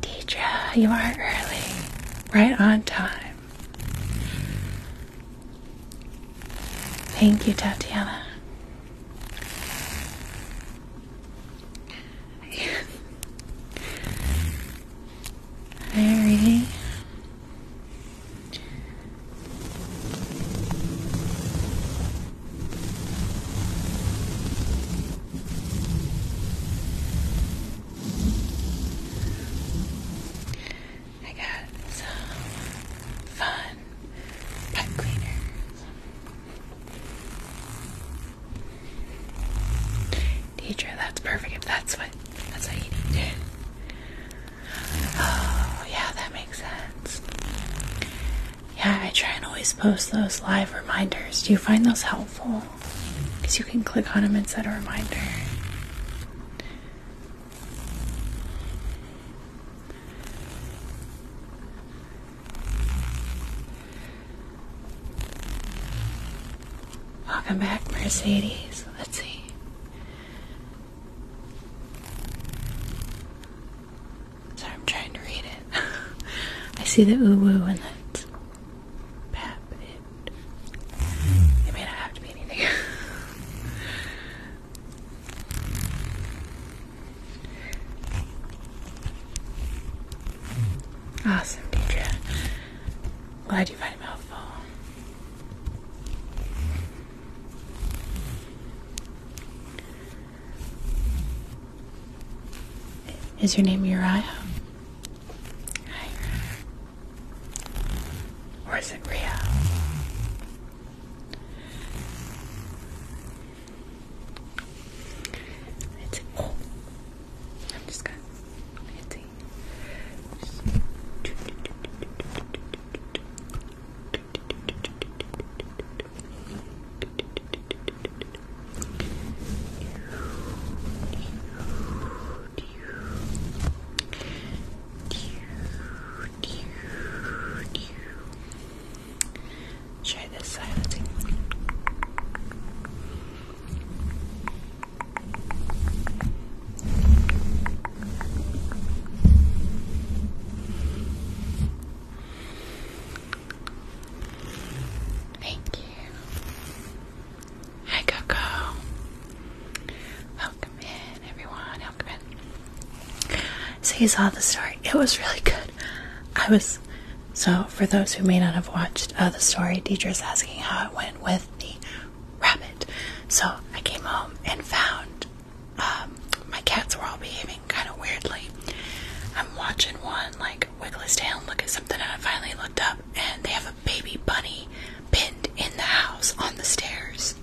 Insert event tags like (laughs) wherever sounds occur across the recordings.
Deidre, you are early. Right on time. Thank you, Tatiana. Very. (laughs) I got some fun pipe cleaners. Teacher, that's perfect that's what that's what you need. Oh yeah, that makes sense. Yeah, I try and always post those live reminders. Do you find those helpful? Because you can click on them and set a reminder. Welcome back, Mercedes. Let's see. So I'm trying to read it. (laughs) I see the ooh oo and the pap it. It may not have to be anything. (laughs) awesome, Deidre. Glad you find it helpful. Is your name Uriah? Or is it Ria? I'm just gonna hit Try this silencing. Thank you. Hi, Coco. Welcome in, everyone. Welcome in. So, you saw the story. It was really good. I was. So, for those who may not have watched uh, the story, Deidre's asking how it went with the rabbit. So, I came home and found um, my cats were all behaving kind of weirdly. I'm watching one like wiggle his tail and look at something, and I finally looked up, and they have a baby bunny pinned in the house on the stairs.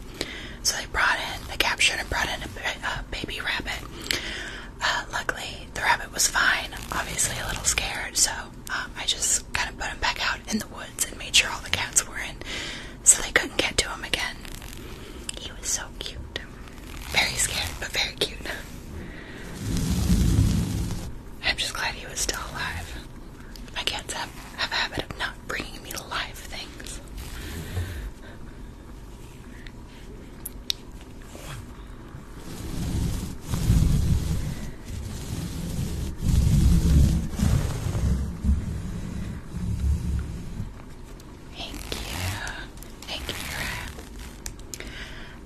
So they brought in, they captured and brought in a, baby rabbit. Uh, luckily, the rabbit was fine, obviously a little scared, so um, I just kind of put him back out in the woods and made sure all the cats were in so they couldn't get to him again. He was so cute. Very scared, but very cute. I'm just glad he was still alive. My cats have a habit of not bringing me live things. Thank you. Thank you for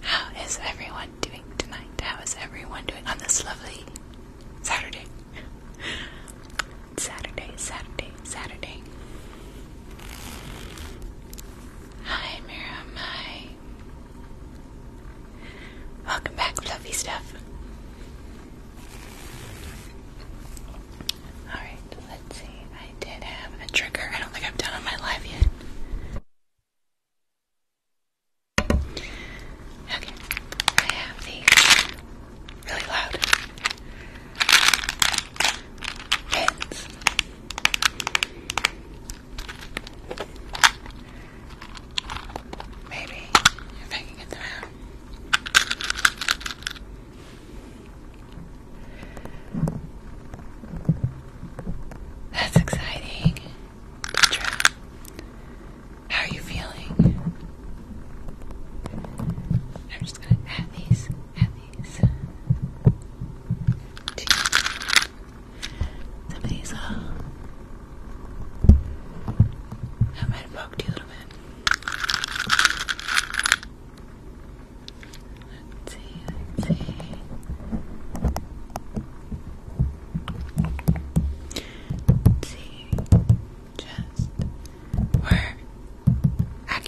How is everyone doing tonight? How is everyone doing on this lovely Saturday? Saturday, Saturday, Saturday. Hi, Miriam. Hi. Welcome back, fluffy stuff. Alright. Let's see, I did have a trigger. I don't think I've done on my life yet. Okay, I have these really loud pins. Maybe if I can get them out. That's exciting. Deidre, how are you feeling? I'm just gonna add these, add these. some of these uh, I might have you a little bit. Let's see, let's see. Let's see. Just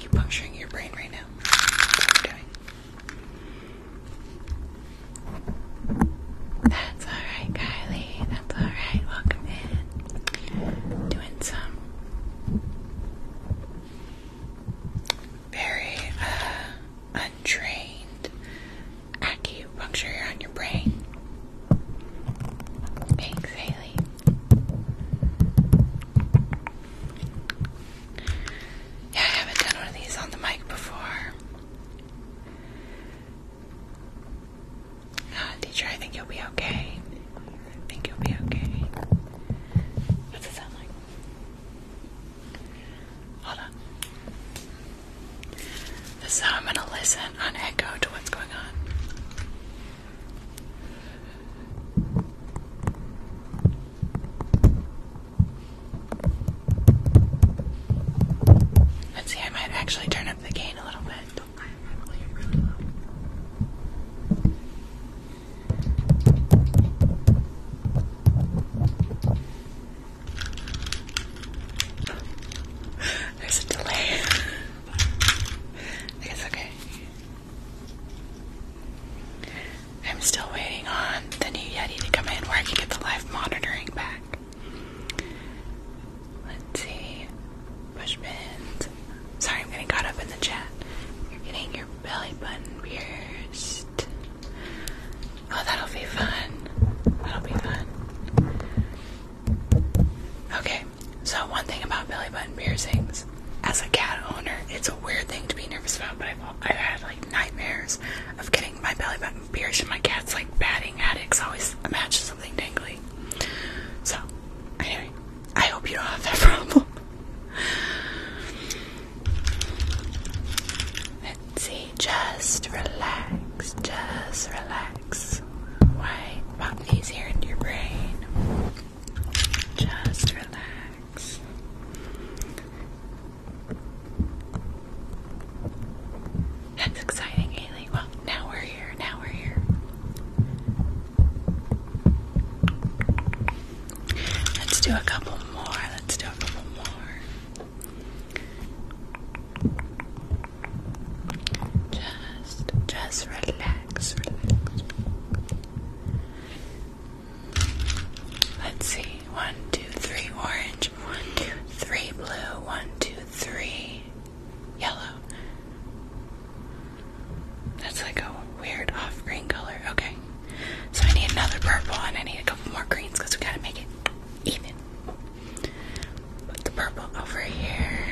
we're your brain right now. what we're doing. That's alright, Kylie. That's alright. Welcome in. Doing some very uh, untrained acupuncture on your brain. Thanks, Haley. Yeah, I haven't done one of these on the mic before. Uh, teacher, I think you'll be okay. I think you'll be okay. What's it sound like? Hold on. This is how I'm going to listen on echo to what's going on. Let's see, I might actually turn up the gain a little bit. There's a delay. it's okay. I'm still waiting on the new Yeti to come in where I can get the live monitoring back. Let's see. Push Sorry, I'm getting caught up in the chat. You're getting your belly button pierced. Oh, that'll be fun. That'll be fun. Okay, so one thing about belly button piercings, as a cat owner, it's a weird thing to be nervous about, but I've, had like nightmares of getting my belly button pierced, and my cat's like batting at it, so always imagine something tangly. So, anyway, I hope you don't have that (laughs) problem. Let's see, just relax, just relax. Why pop these here in your brain? Just relax. That's exciting, Haley. Well, now we're here, now we're here. Let's do a couple more. Let's do a couple more. Just, just relax, relax. Let's see. One, two, three, orange. One, two, three, blue. One, two, three, yellow. That's like a weird off green color. Okay. So I need another purple and I need a couple more greens because we gotta make it even. Put the purple over here.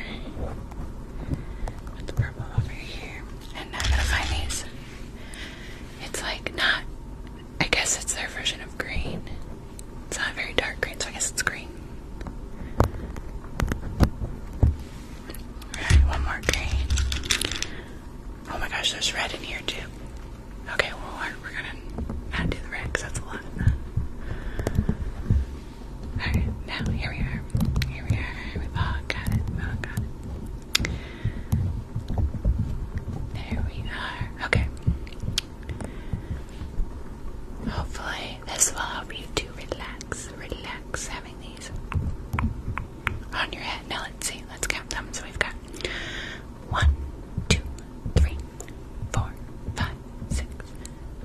Put the purple over here. And now I gotta find these. It's like not, I guess it's their version of green. It's not very dark green, so I guess it's green. Alright, one more green. Oh my gosh, there's red in here too. Okay, well, we're, we're gonna do the red because that's a lot of that. Alright, now here we are. Here we are. we all oh, got it. we oh, all got it. There we are. Okay. Hopefully, this will help you to relax. Relax having these these on your head. Now let's see. Let's count them. So we've got one, two, three, four, five, six,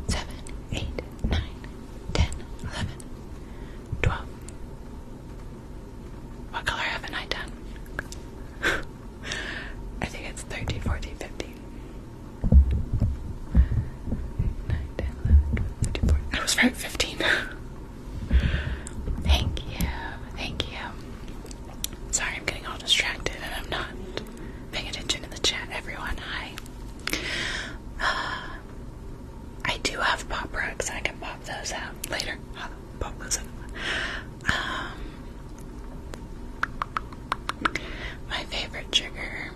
seven, eight, nine, ten, eleven, twelve. What color haven't I done? (laughs) I think it's 13, 14, 15. 9, I was right, 15. (laughs) Thank you, thank you. Sorry, I'm getting all distracted and I'm not paying attention to the chat. Everyone, hi. Uh, I do have pop rugs. I can pop those out later. pop those out. Um, my favorite trigger.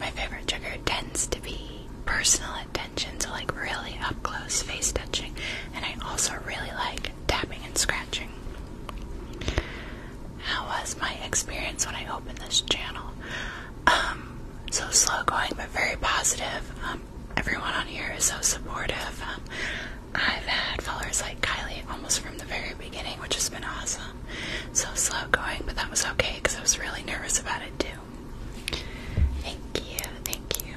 My favorite trigger tends to be personally attention to like really up close face touching, and I also really like tapping and scratching. How was my experience when I opened this channel? Um, so slow going but very positive. Um, everyone on here is so supportive. Um, I've had followers like Kylie almost from the very beginning, which has been awesome. So slow going, but that was okay because I was really nervous about it too. Thank you, thank you.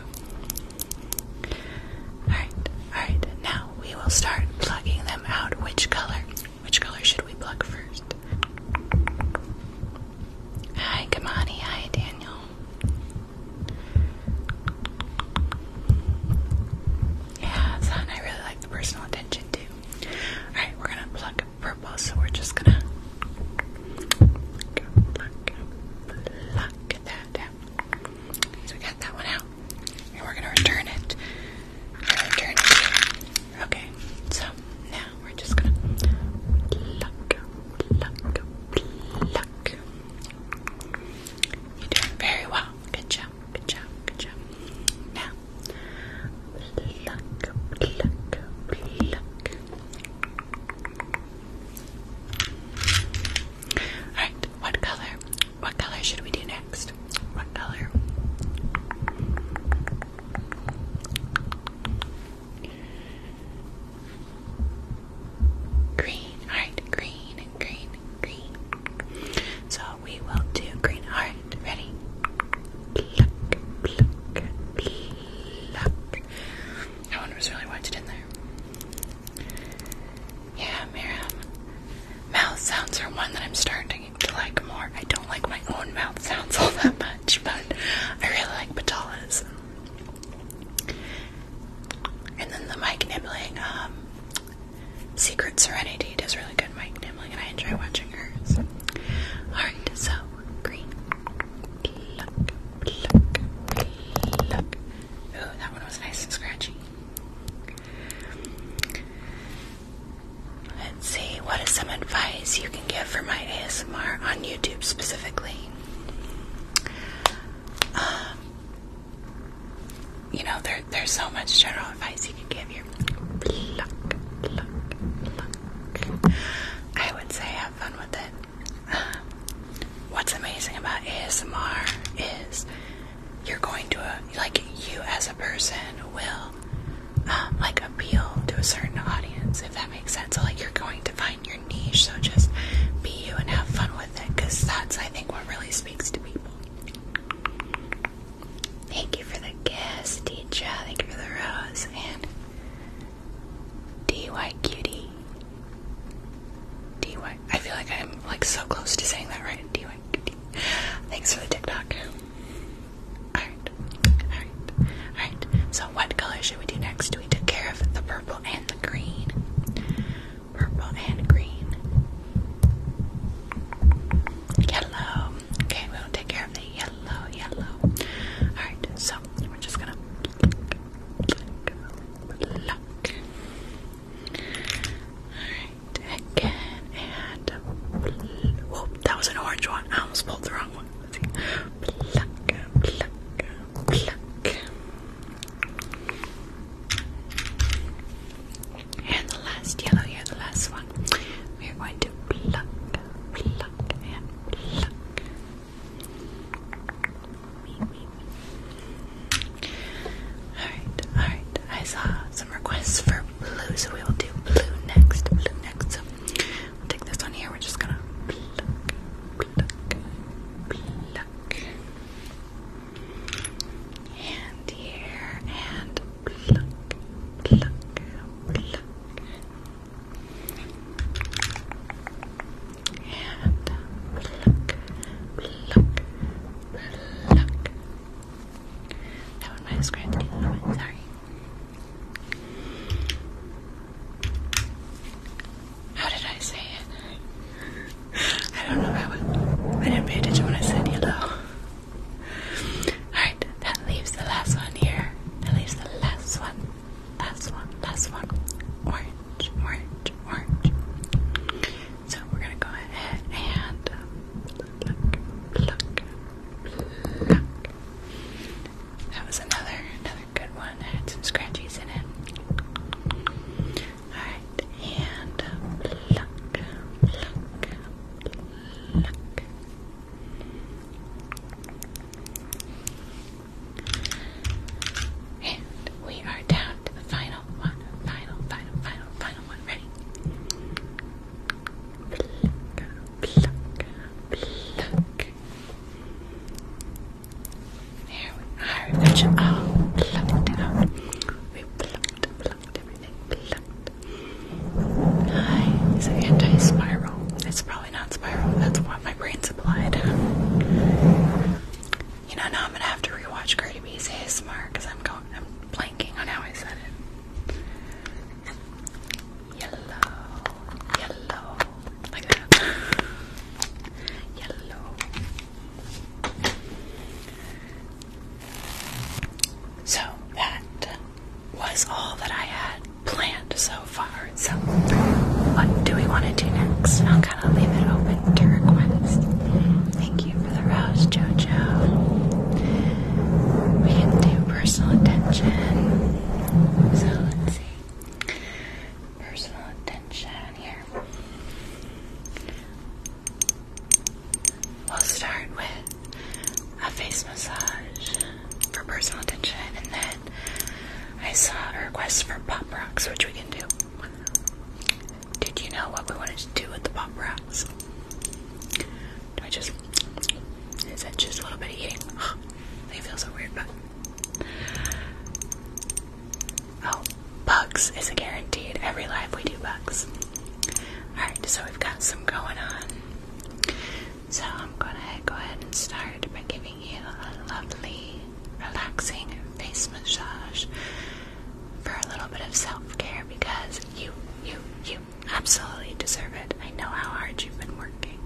Alright, alright, now we will start plugging them out. Which color? Which color should we plug first? Hi, Kamani. Hi, Daniel. Yeah, son, I really like the personal attention too. Alright, we're gonna plug purple, so we're just gonna. Pluck, pluck, pluck that out. So we got that one out. And we're gonna return it. return it. Okay, so now we're just gonna pluck, pluck, pluck. You're doing very well. Good job, good job, good job. Now pluck, pluck, pluck. Alright, what color? What color should we do next? What color? Green, alright, green, green, green. So we will do green. Alright, ready? Pluck, pluck, pluck. I wonder who's really watched in there. Yeah, Miriam. Mouth sounds are one that I'm starting to like more. I don't like my own mouth sounds all that much, but I really like Patala's. And then the mic nibbling, um, Secret Serenity does really good mic nibbling, and I enjoy watching hers. Alright, so green pluck, pluck, pluck. Oh, that one was nice and scratchy. Let's see, what is some advice you can give for my ASMR on YouTube specifically? Um, you know, there, there's so much general advice you can give here. Pluck, pluck, pluck. I would say I fun with it. (sighs) What's amazing about ASMR is you're going to a, like you as a person will um, like appeal to a certain audience if that makes sense. So like you're going to find your niche. So just be you and have fun with it because that's I think what really speaks to people. Thank you for the guest, teacher. Thank you for the rose DY Cutie. DY. feel like I'm like so close to saying that right. DY Cutie. Thanks for the TikTok. Alright. Alright. Alright. So, what color should we do next? We took care of the purple and the green. Purple and green. Yellow. Okay, we'll take care of the yellow, yellow. Alright, so we're just gonna pluck. Alright, again, and whoop, that was an orange one. I almost pulled the wrong one. Let's see. And the last yellow here, the last one. We are going to pluck, pluck, and pluck. Alright, alright. I saw some requests for blue, so we will do blue next. Blue next. So we'll take this one here. We're just gonna pluck, pluck, pluck. And here, and pluck, pluck, pluck. And pluck, pluck, pluck. That one might have scratched me a little sorry. How did I say it? I don't know. I, was, I didn't pay attention when I said yellow. Alright, that leaves the last one here. leaves the last one. That's one, That's one. Orange, orange, orange. So we're gonna go ahead and pluck, uh, pluck, pluck. That was another, another good one. I had some scratchies in it. Alright, and pluck, uh, pluck, pluck. And we are down to the final one. Final, final, final, final one. Ready? Pluck, pluck, pluck. There we are. We got you all plucked out. We plucked, plucked everything. Plucked. Hi. It's an anti-spiral. It's probably probably not spiral. That's what my brain supplied. You know, now I'm gonna have to rewatch Cardi B's ASMR because I'm going, I'm blanking on how I said it. Yellow, yellow, like that. Yellow. So that was all that I had planned. So so, what do we want to do next? I'll kind of leave it open to request. Thank you for the rose, JoJo. We can do personal attention. So, let's see. Personal attention here. We'll start with a face massage for personal attention and then I saw a request for pop rocks, which we can do. Did you know what we wanted to do with the pop rocks? Do I just. Is that just a little bit of eating? (gasps) they feel so weird, but. Oh, bugs is a guaranteed. Every live we do bugs. Alright, so we've got some going on. So I'm gonna go ahead and start by giving giving you a lovely, relaxing face massage for a little bit of self-care because you, you, you absolutely deserve it. I know how hard you've been working.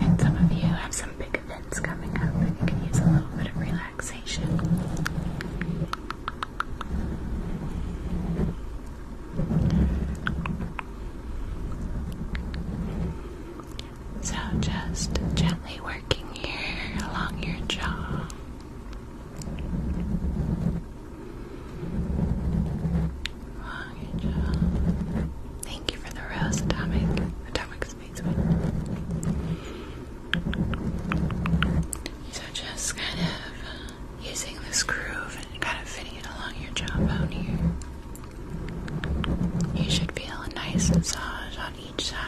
And some of you have some big events coming up you can use a little bit of relaxation. So just gently working here along your jaw. Along your jaw. Thank you for the rose atomic. Atomic space So just kind of using this groove and kind of fitting it along your jawbone here. You should feel a nice massage on each side.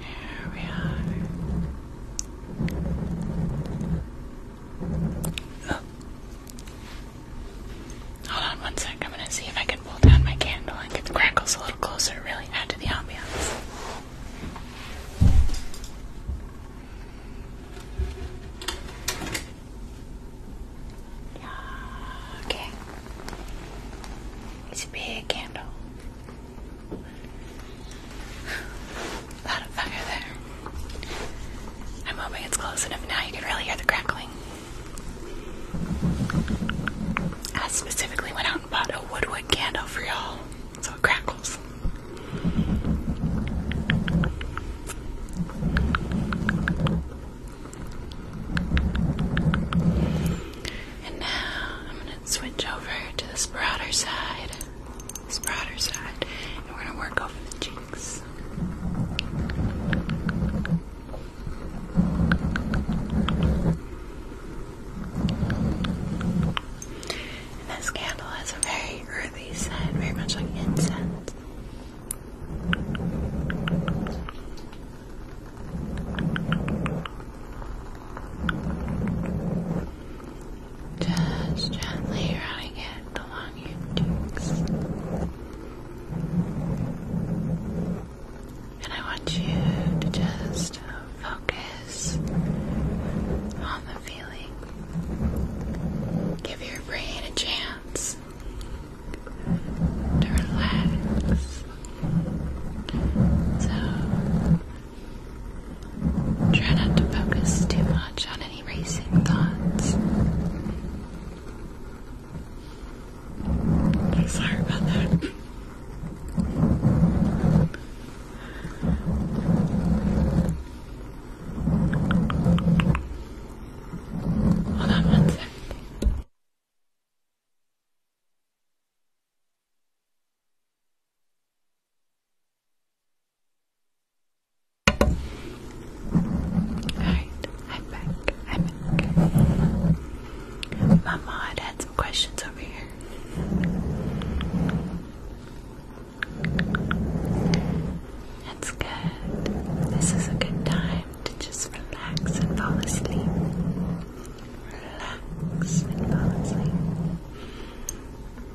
Here we are. Oh. Hold on one sec, I'm gonna see if I can pull down my candle and get the crackles a little closer, really add to the ambiance. Okay. It's a big candle. A I'm hoping it's close enough now you can really hear the crackling. I specifically went out about a woodwood candle for y'all so it crackles. And now I'm going to switch over to this broader side. This broader side. And we're going to work over the cheeks. And this candle has a very earthy scent, very much like incense. Just gently running it along your cheeks. And I want you to just focus on the feeling. Give your brain a chance to relax. So try not to focus too much on any racing thoughts. Sorry about that. Hold on one second. Alright, I'm back. I'm back. My mod had some questions over here. That's good. This is a good time to just relax and fall asleep. Relax and fall asleep.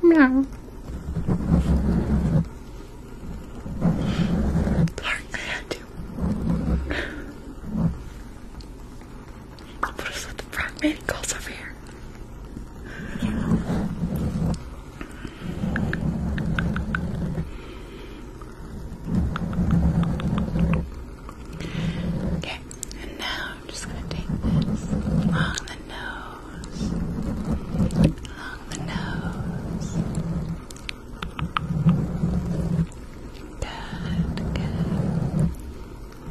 No. Sorry, I had to. I'll put us with the fragmented calls over here. Okay, and now I'm just gonna take this along the nose, along the nose. Good, good. And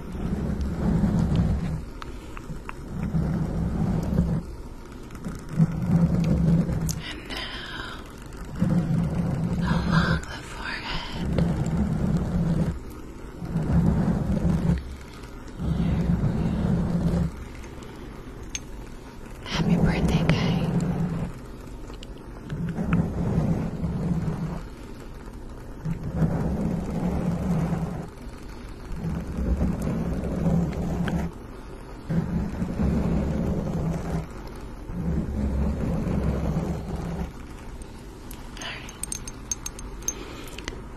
now along the forehead, happy birthday, guy right.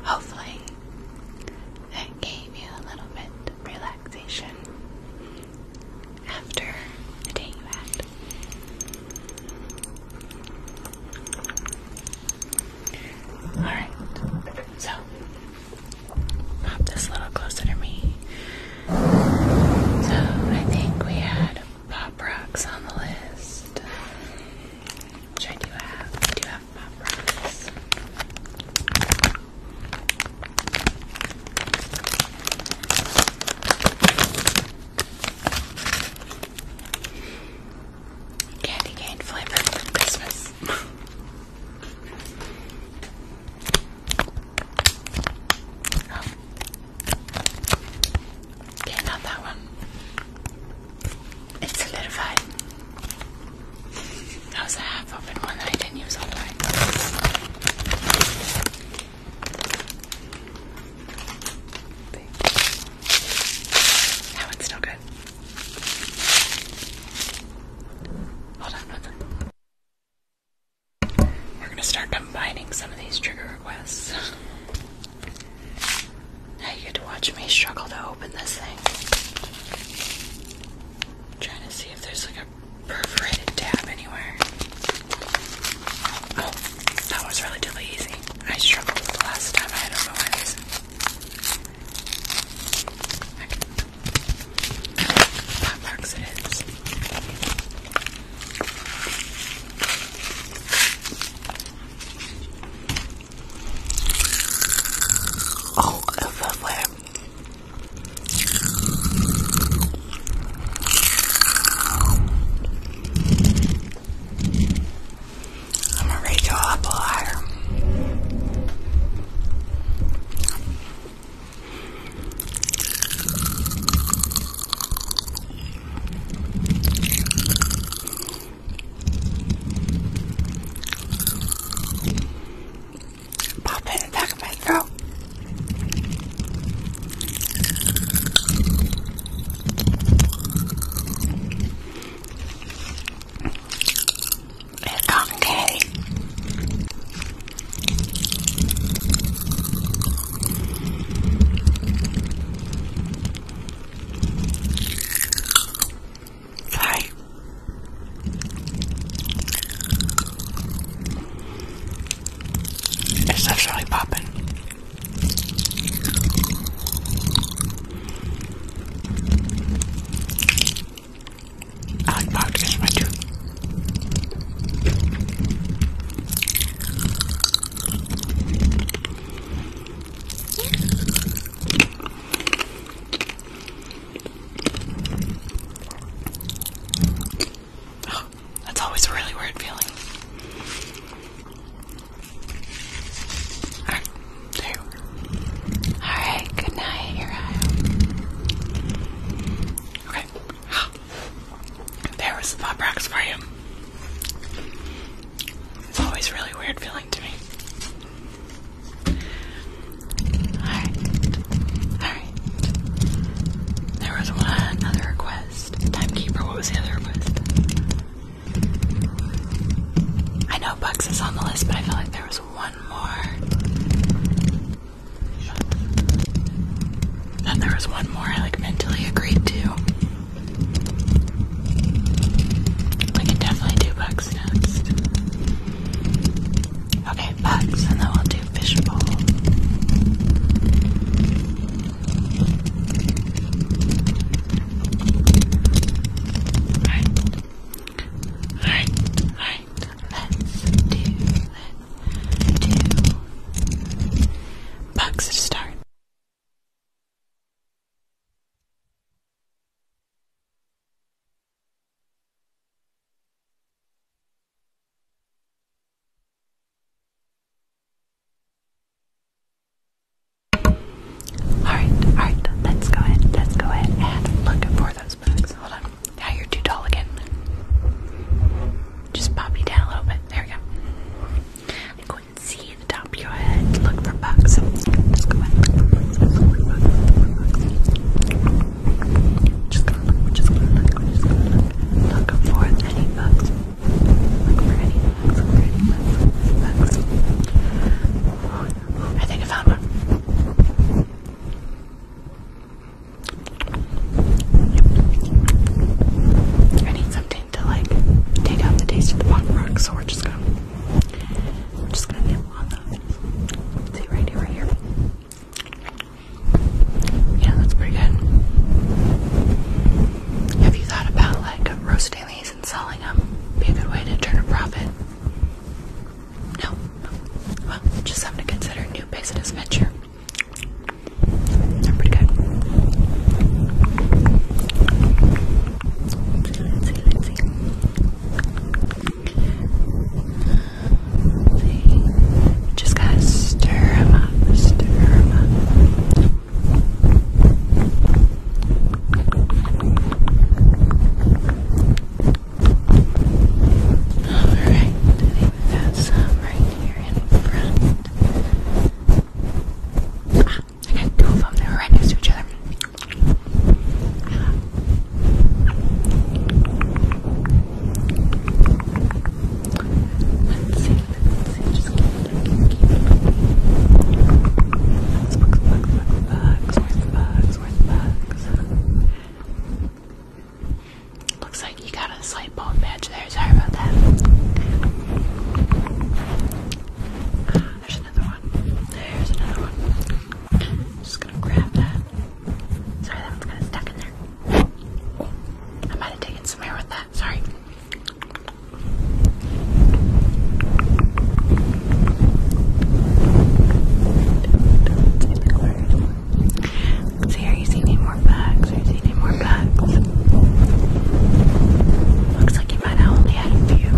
Hopefully, it gave you a little bit of relaxation after the day you had. Alright, so pop this little closer to me. So I think we had pop rocks on the list. Which I do have. I do have pop rocks. Candy cane flavor for Christmas. Oh. Okay, not that one. It's solidified. That was a half open one that I didn't use all the way. That one's still good. Hold on we second. We're gonna start combining some of these trigger requests. Now you get to watch me struggle to open this thing. trying to see if there's like a perforated tab anywhere. Oh, that was relatively easy. I struggled with the last time. I had not know why That marks it is. Oh, it's I'm a Rachel Applehire. Pop in the back of my throat. It's cotton candy. Sorry. It's definitely popping. I like podcasts, right that's always a really weird feeling. Alright, there Alright, good night, your Okay. There was the pop rocks for you. It's always really weird feeling to me. Alright. Alright. There was one another request. Timekeeper, what was the other request? I know Bucks is on the list, but I feel like there was one more. Then there was one more I like mentally agreed to. We can definitely do Bucks next. Okay, Bucks, and then we'll do Fishbowl. Right, right, right. Let's do, let's do bugs start. Alright, alright, let's go ahead, let's go ahead and look for those books. Hold on. Now you're too tall again. Just pop you down a little bit. There we go. And go and see the top of your head. Look for bugs. Just go ahead. Just gonna just gonna just gonna look. for any bugs. I think I found one. I need something to like take out the taste of the pop so we're just gonna we're just gonna nibble on those. See right here, right here. Yeah, that's pretty good. Have you thought about like roasting? those dailies and selling them be a good way to turn a profit? No. Well, just something to consider new business venture. pretty good. see, see. see. Just gotta stir them up, stir them up. Alright, we've got some right here in front. I got two of them, they right next to each other. Let's see, Looks like you got a slight bone patch there. Sorry about that. There's another one. There's another one. just gonna grab that. Sorry, that one's kind of stuck in there. I might have taken some air with that. Sorry. see, are you seeing any more bugs? you seeing any more bugs? Looks like you might have only had a few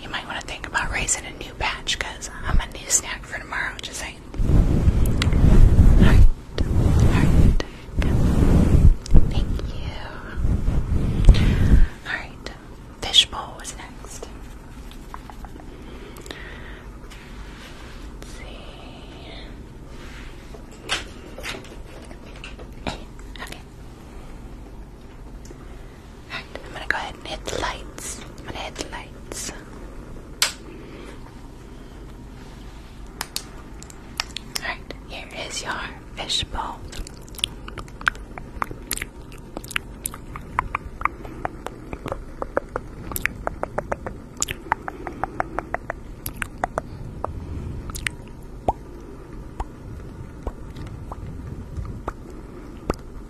you might want to think about raising a new batch because I'm gonna need a snack for tomorrow. Just saying. Alright, alright. Thank you. Alright, fishbowl was next. Let's see. Eh, okay. I'm gonna go ahead and hit the lights. I'm gonna hit the lights. Alright, here is your fishbowl.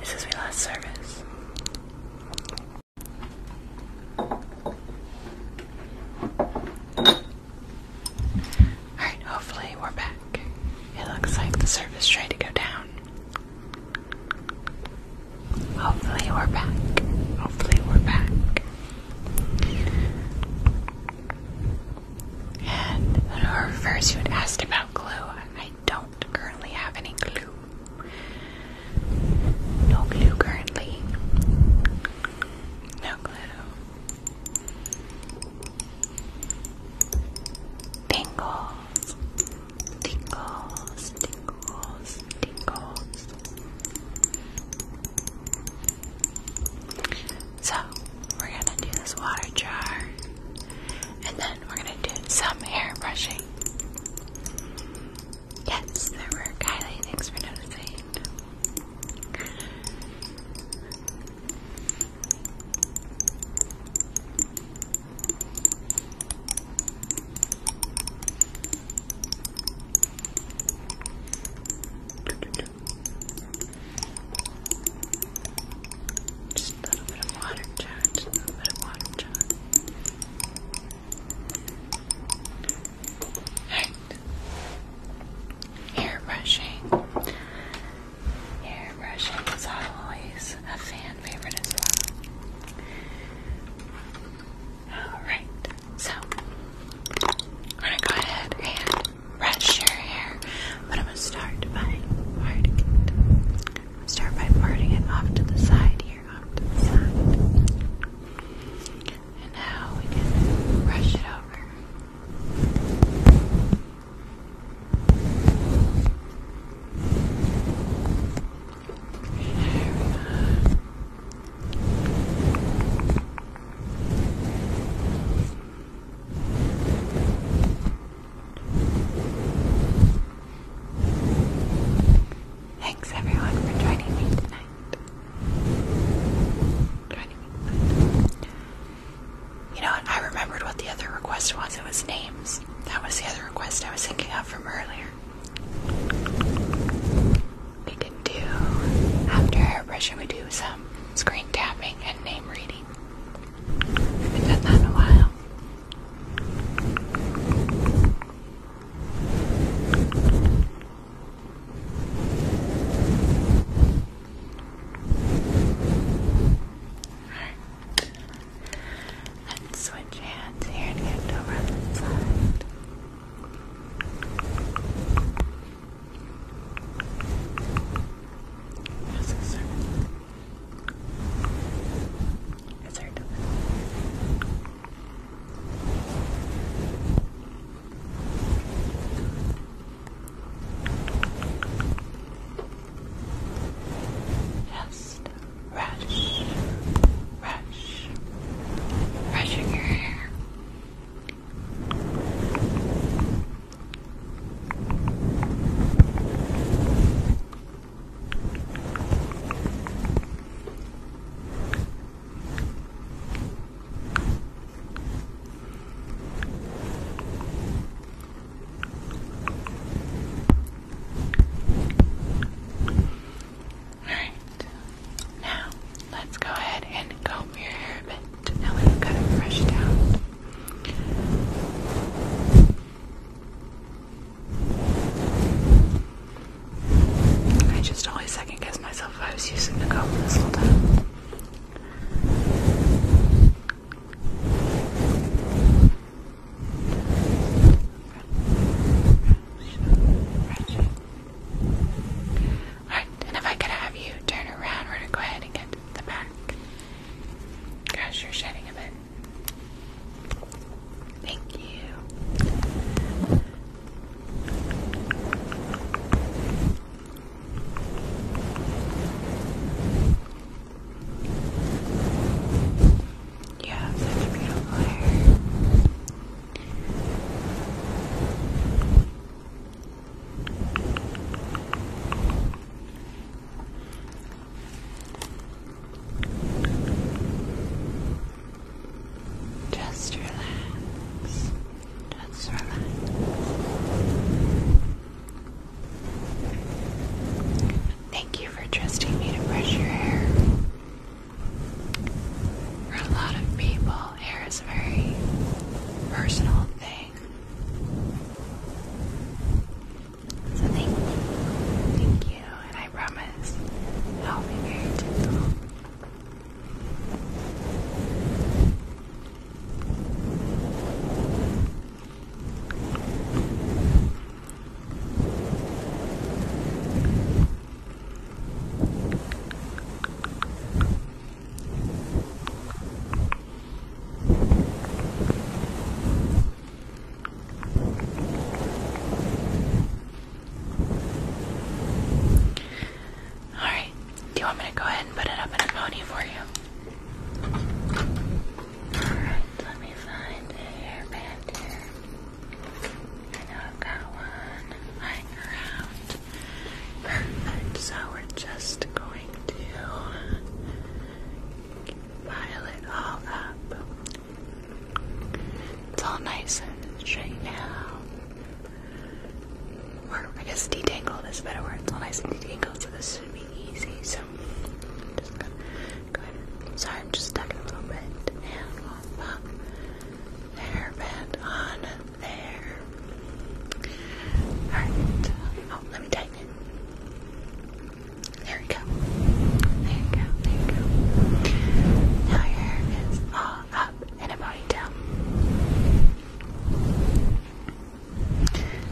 This is my last service. Alright, hopefully we're back. It looks like the service tried to go down. Hopefully we're back. Hopefully we're back. And her first you had asked about glue. I don't currently have any glue. No glue currently. No glue. Tingles tingles, tingles, tingles. So, we're gonna do this water jar and then we're gonna do some hair brushing. Yes, there were. Kylie, thanks for noticing. Just a little bit of water, John. Just a little bit of water, John. Alright. Hair brushing. Hair brushing is always a fan favorite as well. Alright, so I'm gonna go ahead and brush your hair, but I'm gonna start by parting it. start by parting it off to the side here, off to the side. And now we can brush it over. Thanks everyone for joining me tonight. You know I remembered what the other request was. It was names. That was the other request I was thinking of from earlier. We can do, after airbrushing, we do some screen tapping and name reading. I haven't a while. Let's switch hands here and get over on the side. Yes, sir. Yes, sir. Just Rush, rush, brushing your hair. Alright. Now, let's go ahead and comb your hair a Now that have got it brushed out. I just always second guess myself if I was using the comb this whole time. Alright, and if I could have you turn around, we're going to go ahead and get the back. Gosh, you're shedding a bit. Thank you. You have such beautiful hair. Just relax. Just relax. Thank you for trusting me to brush your hair. For a lot of people, hair is a very personal thing. So thank you. Thank you, and I promise I'll be very gentle. All right. Do you want me to go ahead and put it up in a pony for you? All right. Let me find a hairband here. So we're just going to pile it all up. It's all nice and straight now. Or I guess detangled is a better word. It's all nice and detangled, so this should be easy. So I'm just going Sorry, I'm just stuck a little bit. And we hairband on there. Alright. Oh, let me tighten it. There we go. There you go. There you go. Now your hair is all up in a ponytail.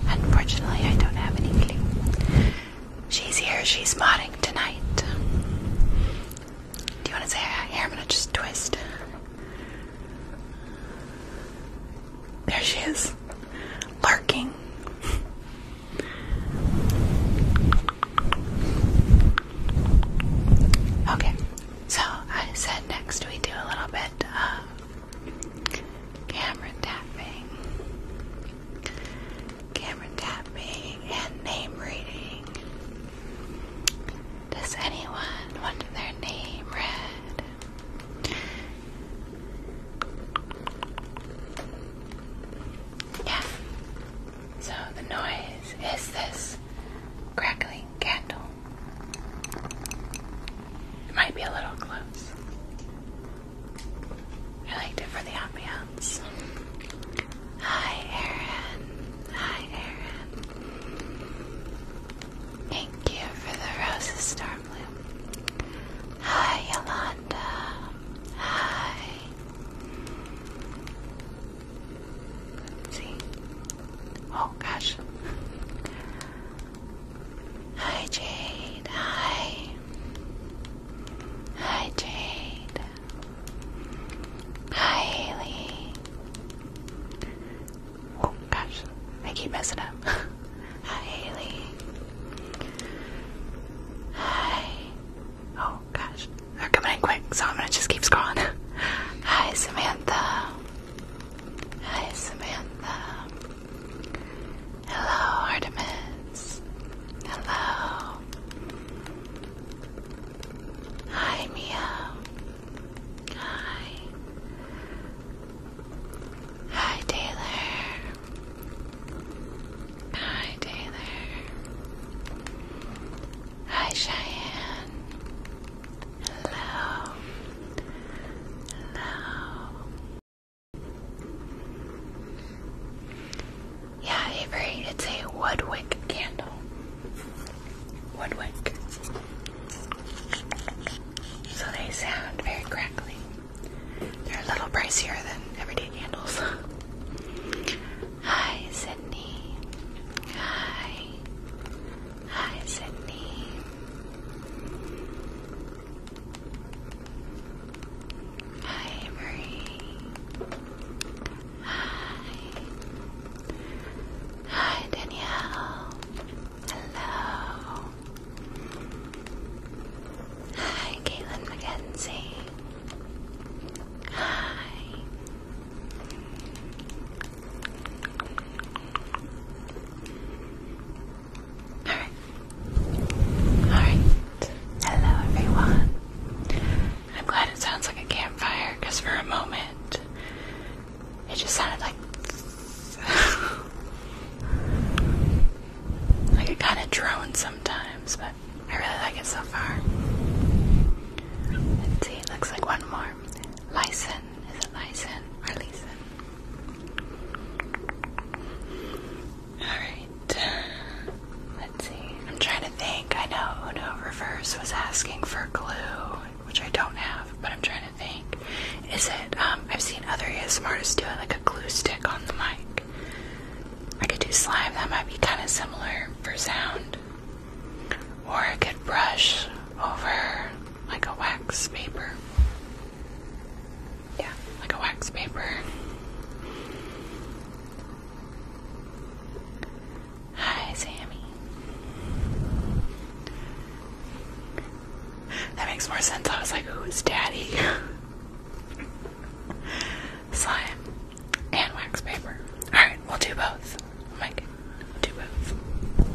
Unfortunately, I don't have any glue. She's here. She's modding tonight. Do you want to say hi? Here, I'm going to just twist. There she is, lurking. okay, so I said next we do a little bit of camera tapping camera tapping, and name reading. Does anyone want their name read? Yeah. So the noise is this crackling candle. It might be a little close. I liked it for the ambiance. Hi, Aaron. Hi, Aaron. Thank you for the roses, Star Hi, Yolanda. Hi. let see. Oh gosh. Hi Jade. Hi. Hi Jade. Hi, Haley. Oh, gosh. I keep messing up. (laughs) Hi, Haley. Hi. Oh, gosh. They're coming in quick, so I'm gonna just keep scrolling. (laughs) Hi, Samantha. Hi, Samantha. Hello, Artemis. Hello. Hi, Mia. Hi. Hi, Taylor. Hi, Taylor. Hi, Cheyenne. Hello. Hello. Yeah, Avery, it's a Woodwick candle. Woodwick. So they sound very crackly. They're a little pricier than everyday candles. (laughs) Hi, Sydney. Hi. Hi, Sydney. Hi, Avery. Hi. Hi, Danielle. Hello. Hi, Caitlin McKenzie. Hi. Alright. Alright. Hello, everyone. I'm glad it sounds like a campfire because for a moment it just sounded like. (laughs) like it kind of drones sometimes, but I really like it so far. see, it looks like one more. Lyson. Is it Lyson or Leeson? Alright. Let's see. I'm trying to think. I know Reverse was asking for glue, which I don't have, but I'm trying to think. Is it, um, I've seen other ASMRtists do it, like a glue stick on the mic. I could do slime, that might be kind of similar for sound. Or I could brush over like a wax paper. Yeah, like a wax paper. Hi, Sammy. That makes more sense. I was like, who's daddy? Slime and wax paper. Alright, we'll do both. Oh we'll do both.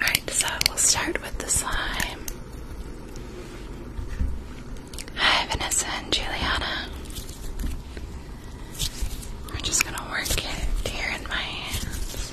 Alright, so we'll start with the slime. Hi, Vanessa and Juliana. We're just going to work it here in my hands.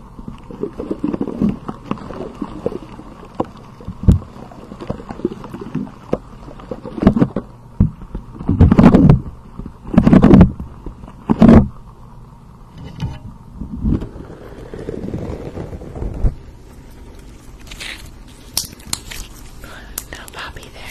Little Poppy there.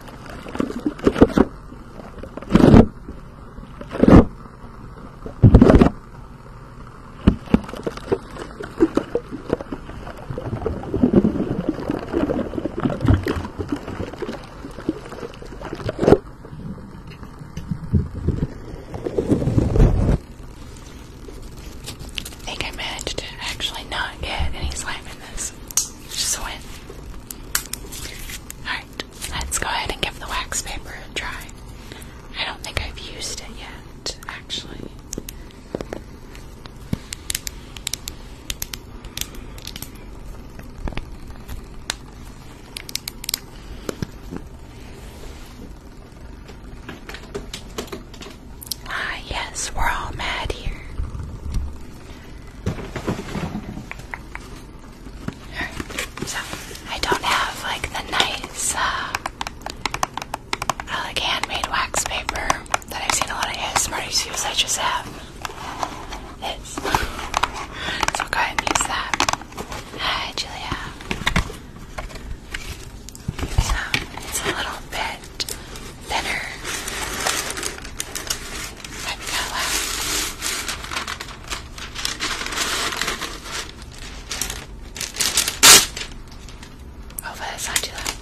I think I managed to actually not get any slime in this wax. Just a win. Alright, let's go ahead and give the wax paper a try. I don't think I've used it yet, actually. Ah, yes, we're all mad here. so I don't have like the nice, uh, like handmade wax paper that I've seen a lot of ASMRs use. I just have this. So go use that. Hi, Julia. So it's a little bit bit thinner. That color. Over, it's not too loud.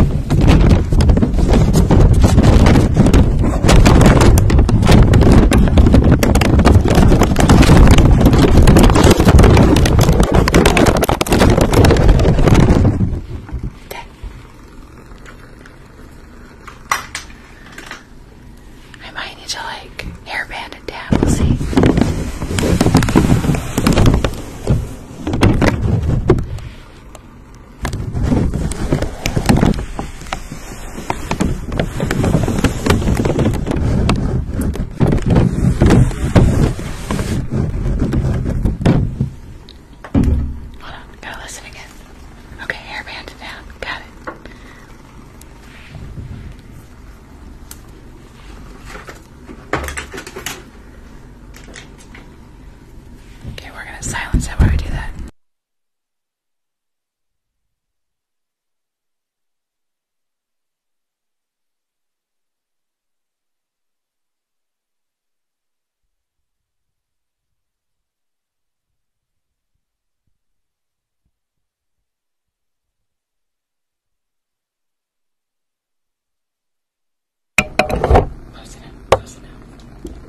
Okay. Okay. I might need to like hairband it down, we'll see. Hold on, gotta listen again. Okay, hairband down. Got it. Okay, we're gonna silence that while we do that. Close enough, close enough.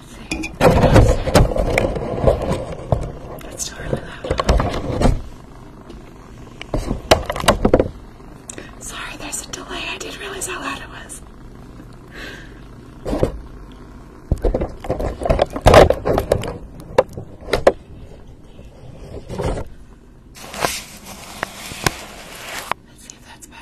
Sorry, there's a delay. I did realize how loud it was. Let's see if that's better.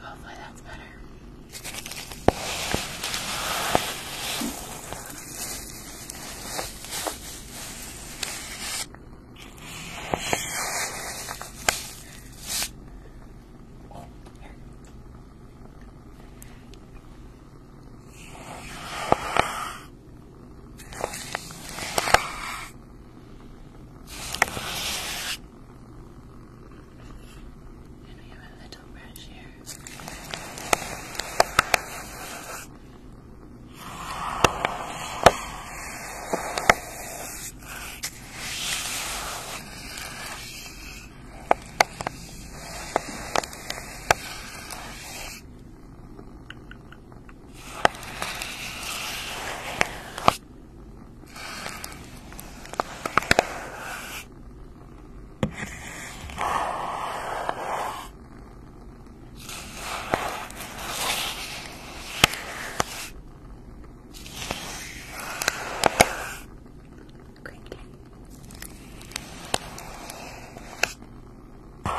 Hopefully that's better. Oh, here. And we have a little brush here. All Crinkly. Alright,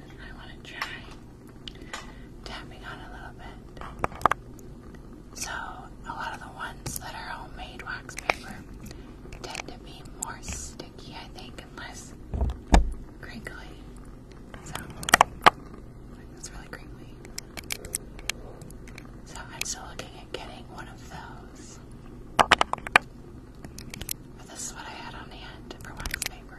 I want to try tapping on a little bit. So, a lot of the ones that are homemade wax paper tend to be more sticky, I think, and less crinkly. So, that's really crinkly. So, I'm still looking at getting one of those. But this is what I had on hand for wax paper.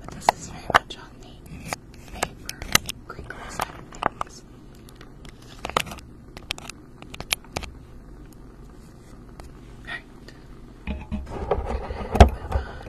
But this is very much on the paper crinkle side of things. Alright. Move on.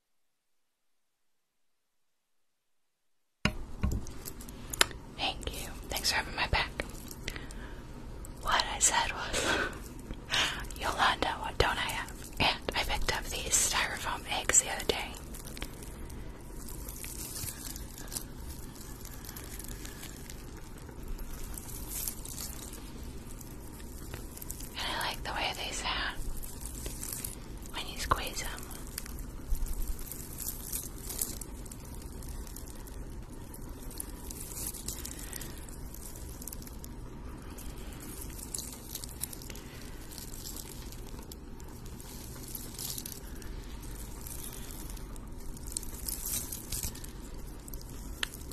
Thank you. Thanks for having my back. What I said was, (laughs) Yolanda, what don't I have? And I picked up these styrofoam eggs the other day. And I like the way they sound when you squeeze them.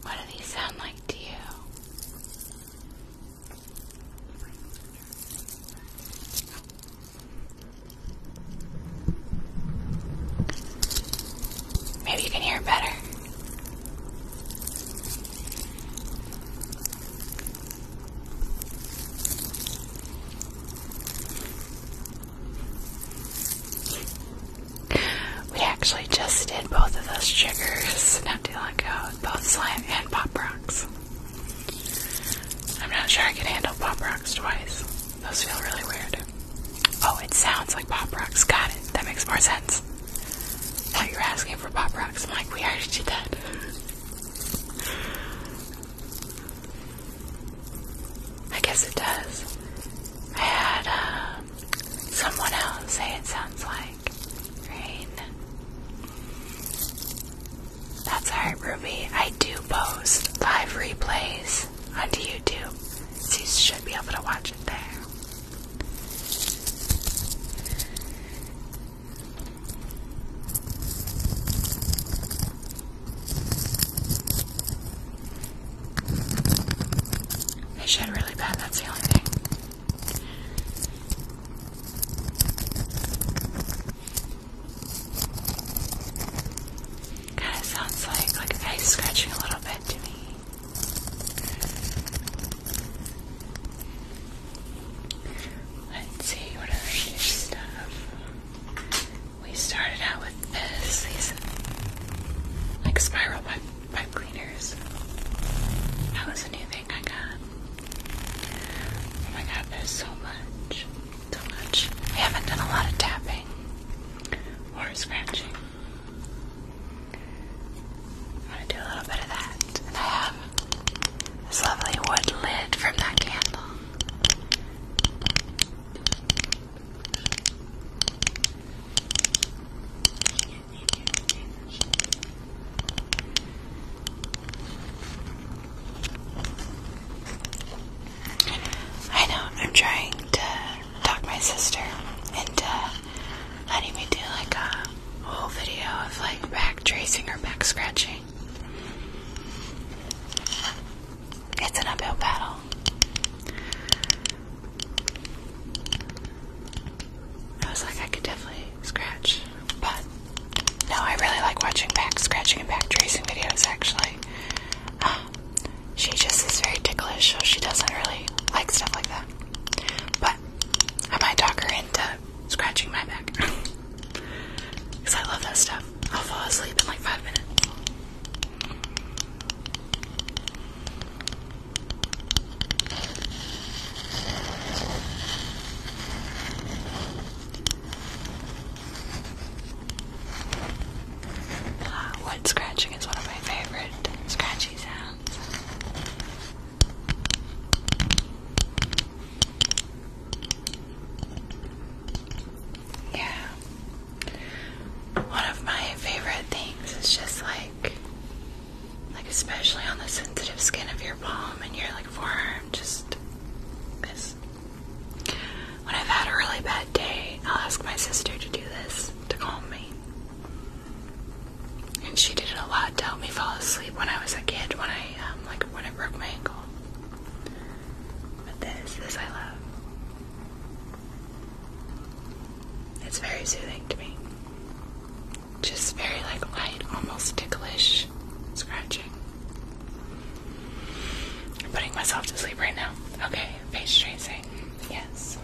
What do these sound like to you? Maybe you can hear better. We actually just did both of those triggers not too long ago, both slam and pop rocks. I'm not sure I can handle pop rocks twice. Those feel really weird. Oh, it sounds like pop rocks. Got it. That makes more sense. Now you are asking for pop rocks. I'm like, we already did that. I guess it does. I had uh, someone else say it sounds like rain. That's alright, Ruby. I do post live replays onto YouTube, so you should be able to watch it there. I shed really bad, that's the only thing. Kind of sounds like like face scratching a little bit to me. Let's see what other new stuff. We started out with this, these like spiral pipe, pipe cleaners. That was a new thing I got. Oh my god, there's so much. So much. I haven't done a lot of tapping or scratching. I'm gonna do a little bit of that. I have this lovely wood lid from that candle. I know, I'm trying to talk my sister into letting me do like a whole video of like back tracing or back scratching. It's an uphill battle. I was like, I could definitely scratch. But no, I really like watching back scratching and back tracing videos actually. Um, she just is very ticklish, so she doesn't really like stuff like that. But I might talk her into scratching my back. Because (laughs) I love that stuff. I'll fall asleep in like five minutes. Ah, uh, wood scratching is one of my favorite scratchy sounds. Yeah. One of my favorite things is just like like especially on the sensitive skin of your palm and your like forearm just when I've had a really bad day, I'll ask my sister to do this to calm me. And she did it a lot to help me fall asleep when I was a kid, when I um, like when I broke my ankle. But this, this I love. It's very soothing to me. Just very like light, almost ticklish much scratching. I'm putting myself to sleep right now. Okay, face tracing. Yes.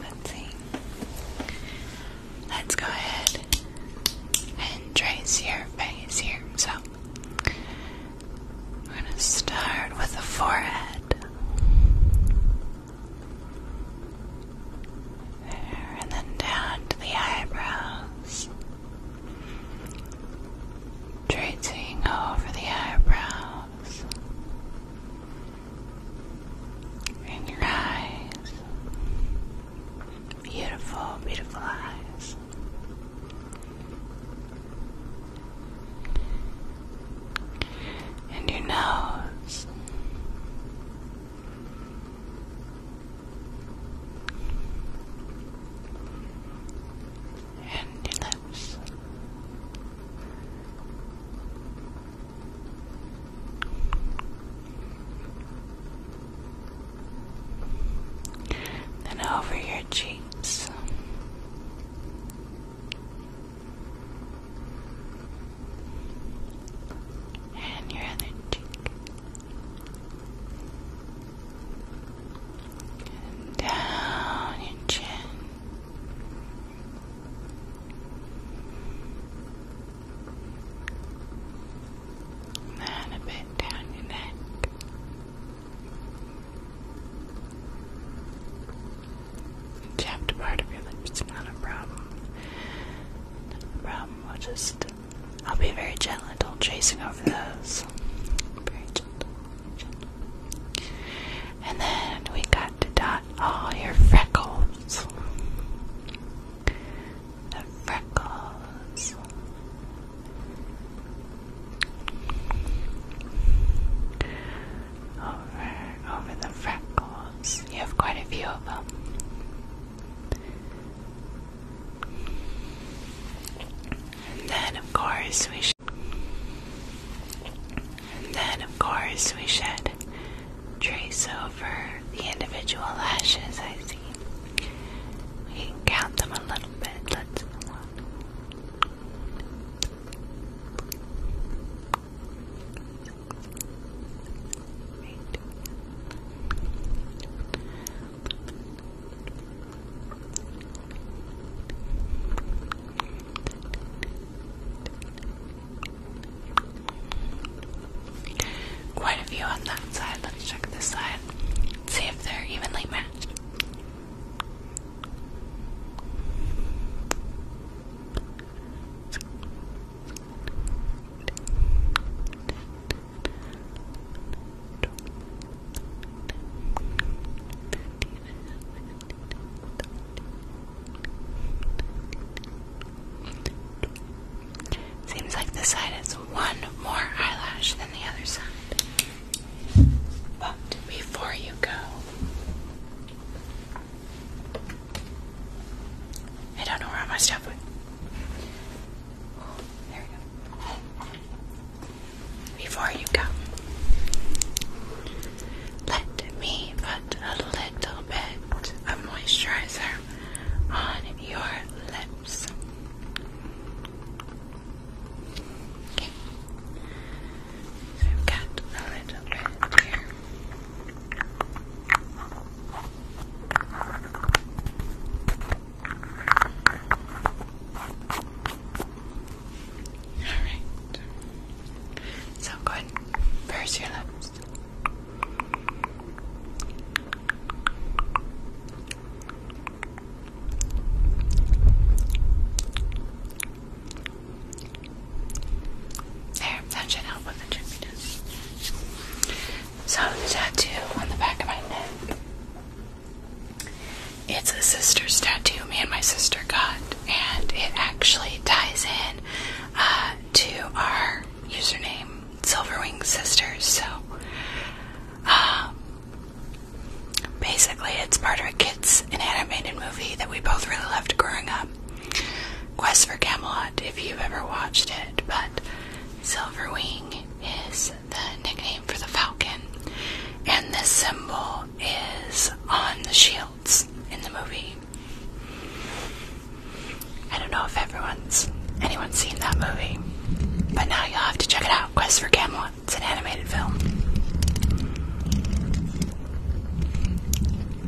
Let's see. Let's go ahead and trace your face here. So, we're going to start with the forehead and then down to the eyebrows. Tracing over the eyebrows. In your eyes. Beautiful, beautiful eyes. And your nose and your lips. Then over your cheeks. And your other cheek. down your chin. And a bit down your neck. chapped part of your lips not a problem rum. I'll just, I'll be very gentle chasing over those. Very gentle, gentle. And then we got to dot all your freckles. The freckles. Over, over the freckles. You have quite a few of them. And then, of course, we should. And then, of course, we should trace over the individual lashes. I see. We count them a little bit. Let's Quite a few on that side. Let's check this side. See if they're evenly matched. Seems like this side has one more eyelash than the other side. But before you go, I don't know where all my stuff went. There we go. Before you go, let me put a little bit of moisturizer on your lips. Okay. So I've got a little bit here. Alright. So go ahead purse your lips. There that should help with the drippiness. So the tattoo on the back of my neck. It's a sister's tattoo me and my sister got, and it actually ties in uh, to our username, Silverwing Sisters. So, um, basically, it's part of a kids' and animated movie that we both really loved growing up, Quest for Camelot, if you've ever watched it, but Silverwing is the nickname for the falcon, and this symbol is on the shields in the movie. I don't know if everyone's anyone's seen that movie, but now you'll have to check it out. Quest for Camelot. It's an animated film.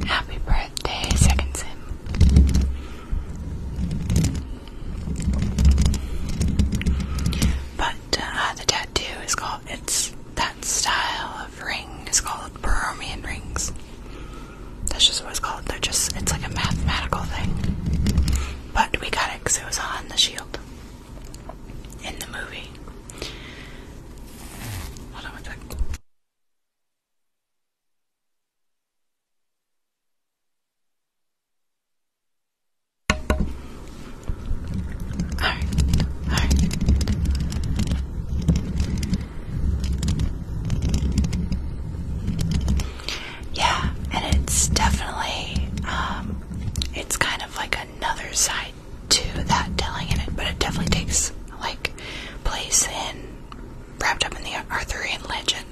Happy birthday, Second Sim. But uh, the tattoo is called, it's that style of ring is called Borromean rings. That's just what it's called. They're just, it's like a mathematical thing. But we got it because it was on the shield in the movie. Hold on one sec. Yeah, and it's definitely um, it's kind of like another side to that telling in it, but it definitely takes like place in wrapped up in the Arthurian legend.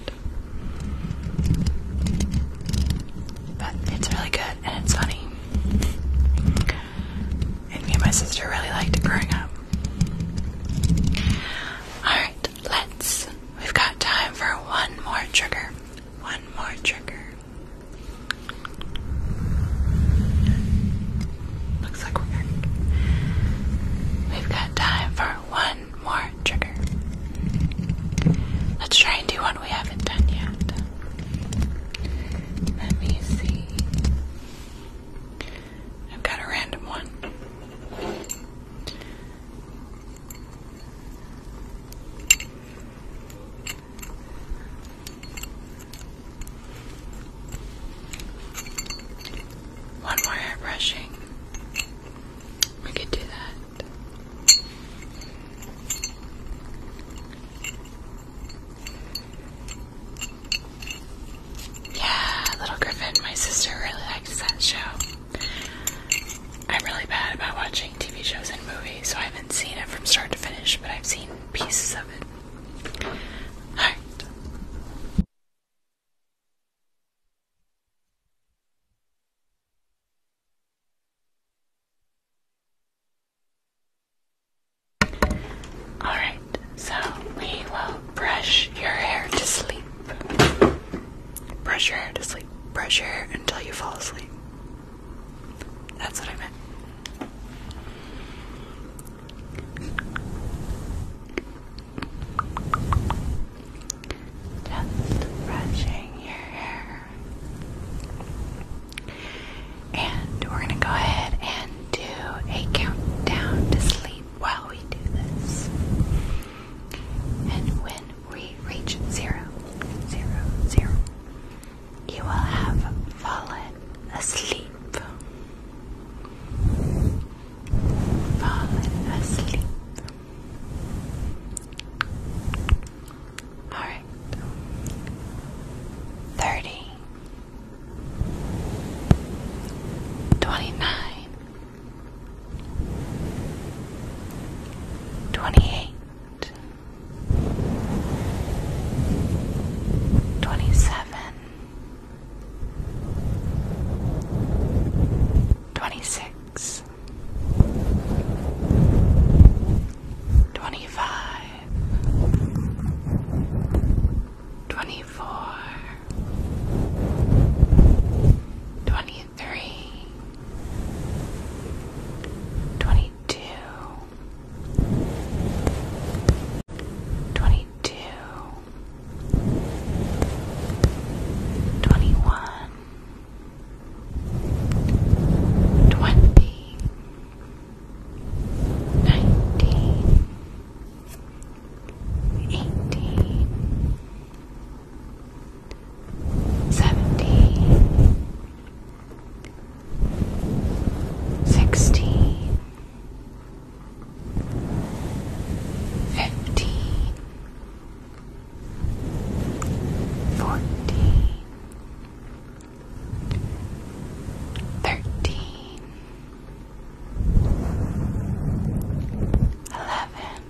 But it's really good and it's funny. And me and my sister really liked it growing up. Alright, let's. We've got time for one more trigger. One more trigger. Looks like we have got time for one more trigger. Let's try and do one we haven't done yet. Let me see. I've got a random one. One more hair brushing. We could do that. Yeah, Little Griffin, my sister really likes that show. I'm really bad about watching TV shows and movies, so I haven't seen it from start to finish, but I've seen pieces of it. Alright. All right, so we will brush your hair to sleep. Brush your hair to sleep. Brush your hair until you fall asleep. That's what I meant. Just brushing your hair. And we're going to go ahead and do a countdown to sleep while we do this. And when we reach zero, zero, zero, you will have fallen asleep fallen asleep. All right. Thirty. Twenty-nine. Twenty-eight. Twenty-seven. 26 25 24 23 22 22 Twenty-one, twenty, nineteen, eighteen, seventeen, sixteen fifteen, fourteen, thirteen, eleven,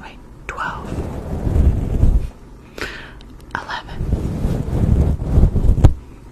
wait, twelve, eleven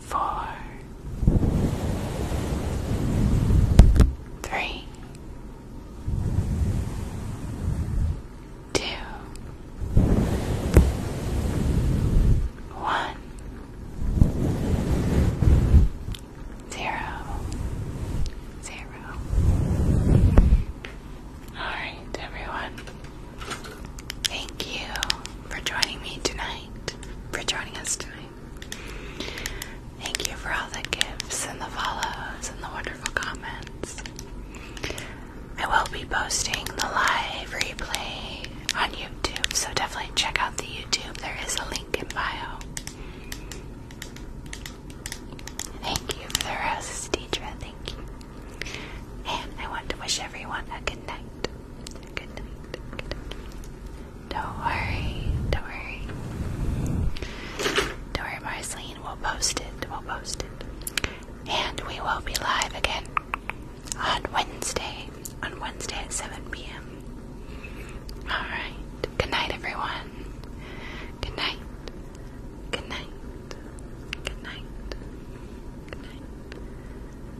four, three, two, one, zero, zero. All right, everyone. Thank you for joining me tonight for joining us tonight. Thank you for all the gifts and the follows and the wonderful comments. I will be posting the live replay on YouTube, so definitely check out the YouTube. There is a link in bio. Thank you for the roses, Deidre. Thank you. And I want to wish everyone a good night. Don't worry. Don't worry. Don't worry, Marceline. We'll post it. We'll post it. And we will be live again on Wednesday. On Wednesday at 7 p.m. Alright. Good night, everyone. Good night. Good night. Good night. Good night.